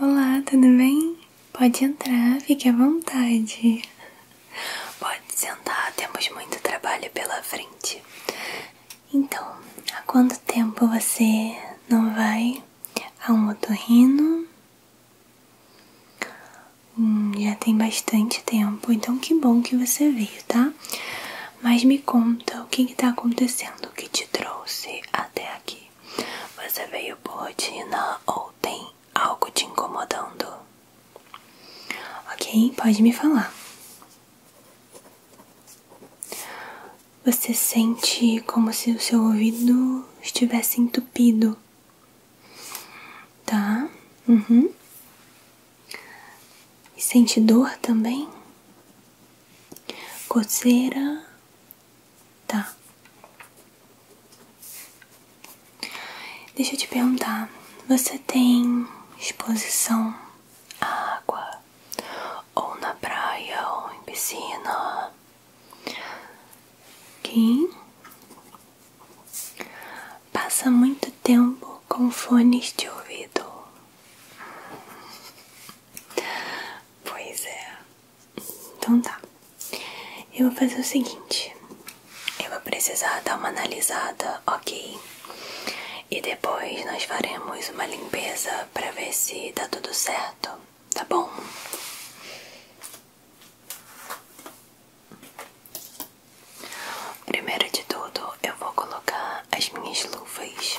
Olá, tudo bem? Pode entrar, fique à vontade. Pode sentar, temos muito trabalho pela frente. Então, há quanto tempo você não vai a um otorrino? Hum, já tem bastante tempo, então que bom que você veio, tá? Mas me conta o que está acontecendo, o que te trouxe até aqui. Você veio por na ou tem algo te incomodando? Ok, pode me falar. Você sente como se o seu ouvido estivesse entupido. Tá? Uhum. sente dor também? Coceira Tá. Deixa eu te perguntar, você tem exposição à água? Ou na praia, ou em piscina? Quem? Passa muito tempo com fones de ouvido. Pois é. Então tá. Eu vou fazer o seguinte. Eu vou precisar dar uma analisada, ok? E depois nós faremos uma limpeza para ver se tá tudo certo, tá bom? Primeiro de tudo, eu vou colocar as minhas luvas.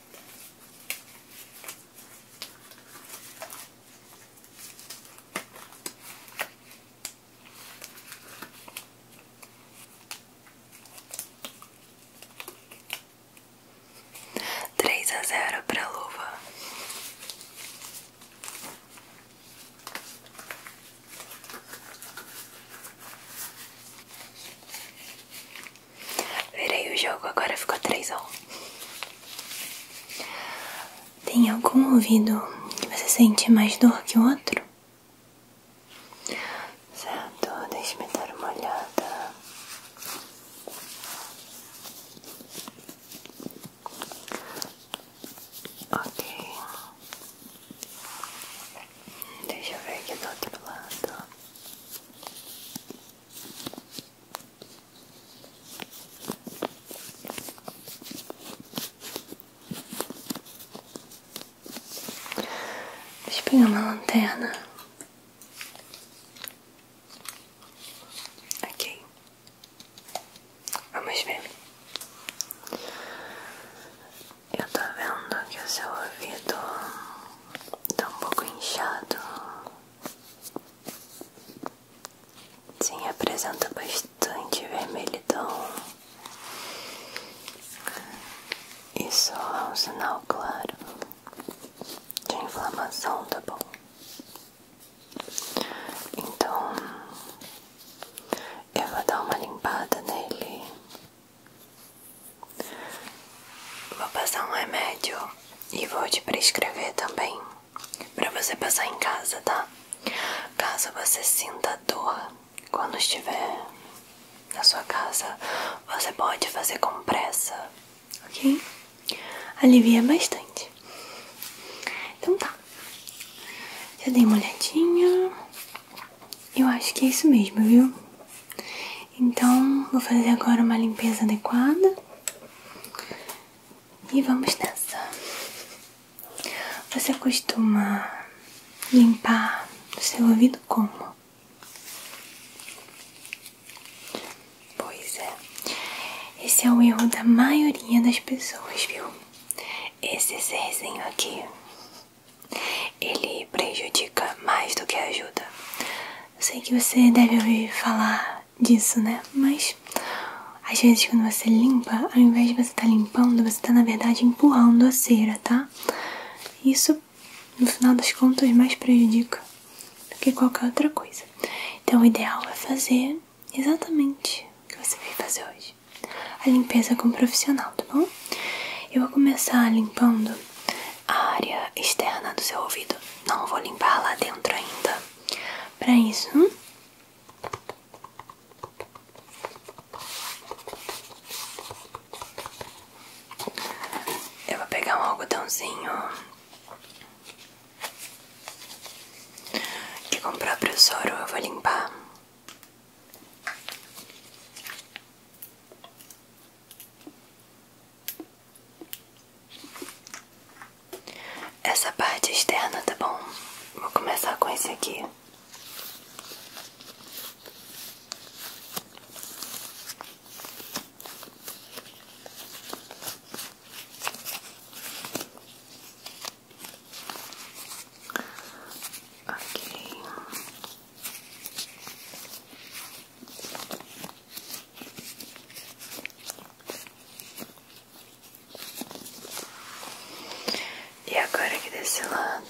Três a zero para a luva. Virei o jogo, agora ficou 3 a 1. Tem algum ouvido que você sente mais dor que o outro? Certo, deixe me dar uma olhada. Ok. Deixa eu ver aqui do outro lado. Deixa eu pegar uma lanterna. Ok. Vamos ver. Eu tô vendo que o seu ouvido tá um pouco inchado. Sim, apresenta bastante vermelhidão. Isso é um sinal claro de inflamação, tá bom? Então eu vou dar uma limpada nele Vou passar um remédio e vou te prescrever também para você passar em casa, tá? Caso você sinta dor quando estiver na sua casa, você pode fazer com pressa, ok? Alivia bastante. Então tá. Já dei uma olhadinha. Eu acho que é isso mesmo, viu? Então, vou fazer agora uma limpeza adequada e vamos nessa. Você costuma limpar o seu ouvido como? Pois é, esse é o erro da maioria das pessoas, viu? Esse serzinho aqui. Ele prejudica mais do que ajuda. Sei que você deve ouvir falar disso, né? Mas às vezes quando você limpa, ao invés de você estar tá limpando, você está na verdade empurrando a cera, tá? Isso, no final das contas, mais prejudica do que qualquer outra coisa. Então o ideal é fazer exatamente o que você veio fazer hoje. A limpeza com profissional, tá bom? eu vou começar limpando a área externa do seu ouvido. Não vou limpar lá dentro ainda. Para isso, eu vou pegar um algodãozinho que com o próprio soro eu vou limpar. Essa parte externa, tá bom? Vou começar com esse aqui. Ok. E agora aqui desse lado.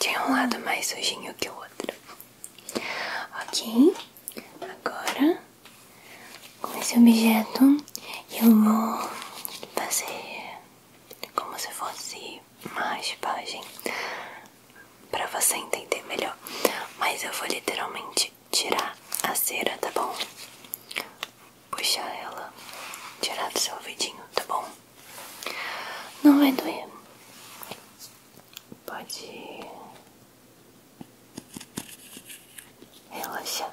Tinha um lado mais sujinho que o outro. Ok, agora com esse objeto eu vou fazer como se fosse uma raspagem para você entender melhor. Mas eu vou literalmente tirar a cera, tá bom? Puxar ela, tirar do seu ouvidinho, tá bom? Não vai doer. Pode relaxar.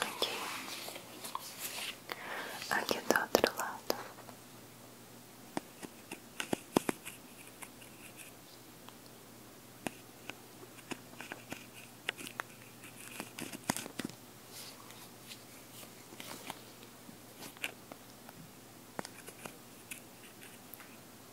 Aqui. Aqui do outro lado.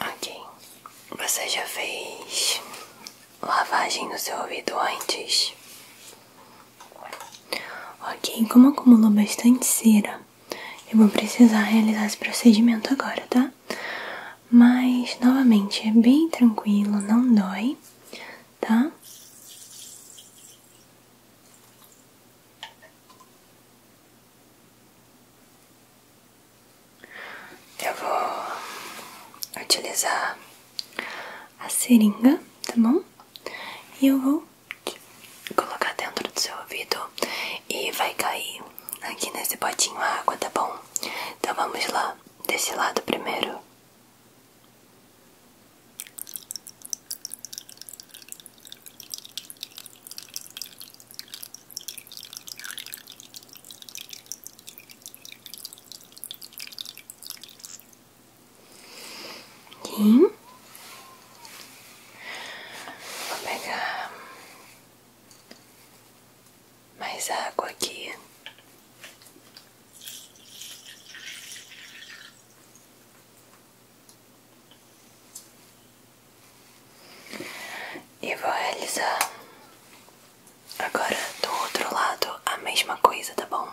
Ok, você já fez lavagem no seu ouvido antes? Ok, como acumulou bastante cera, eu vou precisar realizar esse procedimento agora, tá? Mas, novamente, é bem tranquilo, não dói, tá? Eu vou utilizar a seringa, tá bom? E eu vou colocar dentro do seu ouvido e vai cair aqui nesse potinho a água, tá bom? Então vamos lá, desse lado primeiro. Vou pegar mais água aqui. E vou realizar agora do outro lado a mesma coisa, tá bom?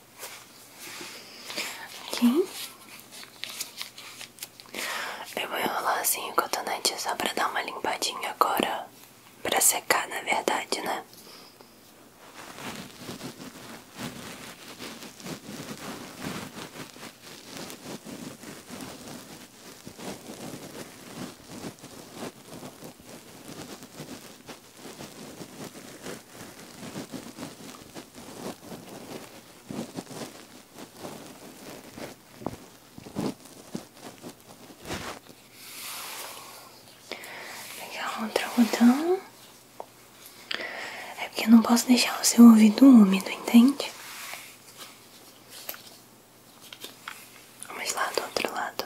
Aqui. Eu vou enrolar assim o cotonete só pra dar uma limpadinha agora. Pra secar, na verdade, né? Pegar outro algodão. É porque eu não posso deixar o seu ouvido úmido, entende? Vamos lá do outro lado.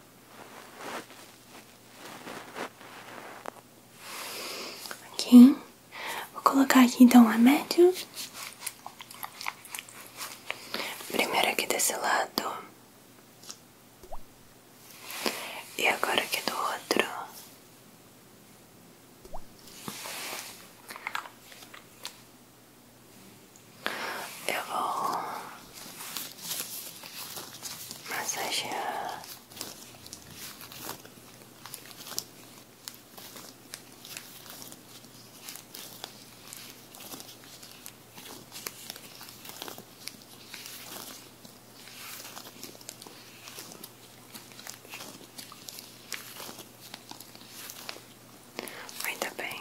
Ok, vou colocar aqui então a médio. Primeiro aqui desse lado e agora aqui do outro. Eu vou massagear Ainda bem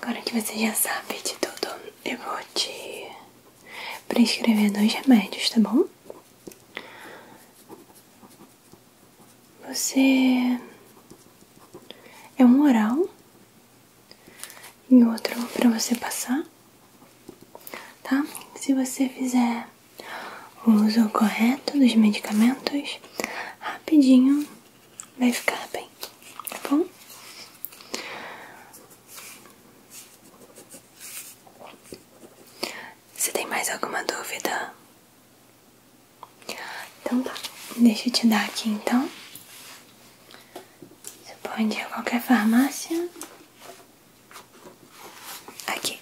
Agora que você já sabe de tudo, eu vou te prescrever dois remédios, tá bom? Você é um oral e outro para você passar, tá? Se você fizer o uso correto dos medicamentos, rapidinho vai ficar bem, tá bom? Se tem mais alguma dúvida? Então tá, deixa eu te dar aqui então. Você pode ir a qualquer farmácia. Aqui.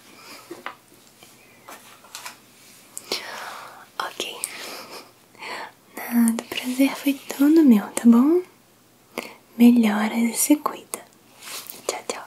Ok. Nada, o prazer foi todo meu, tá bom? Melhoras e se cuida. Tchau, tchau.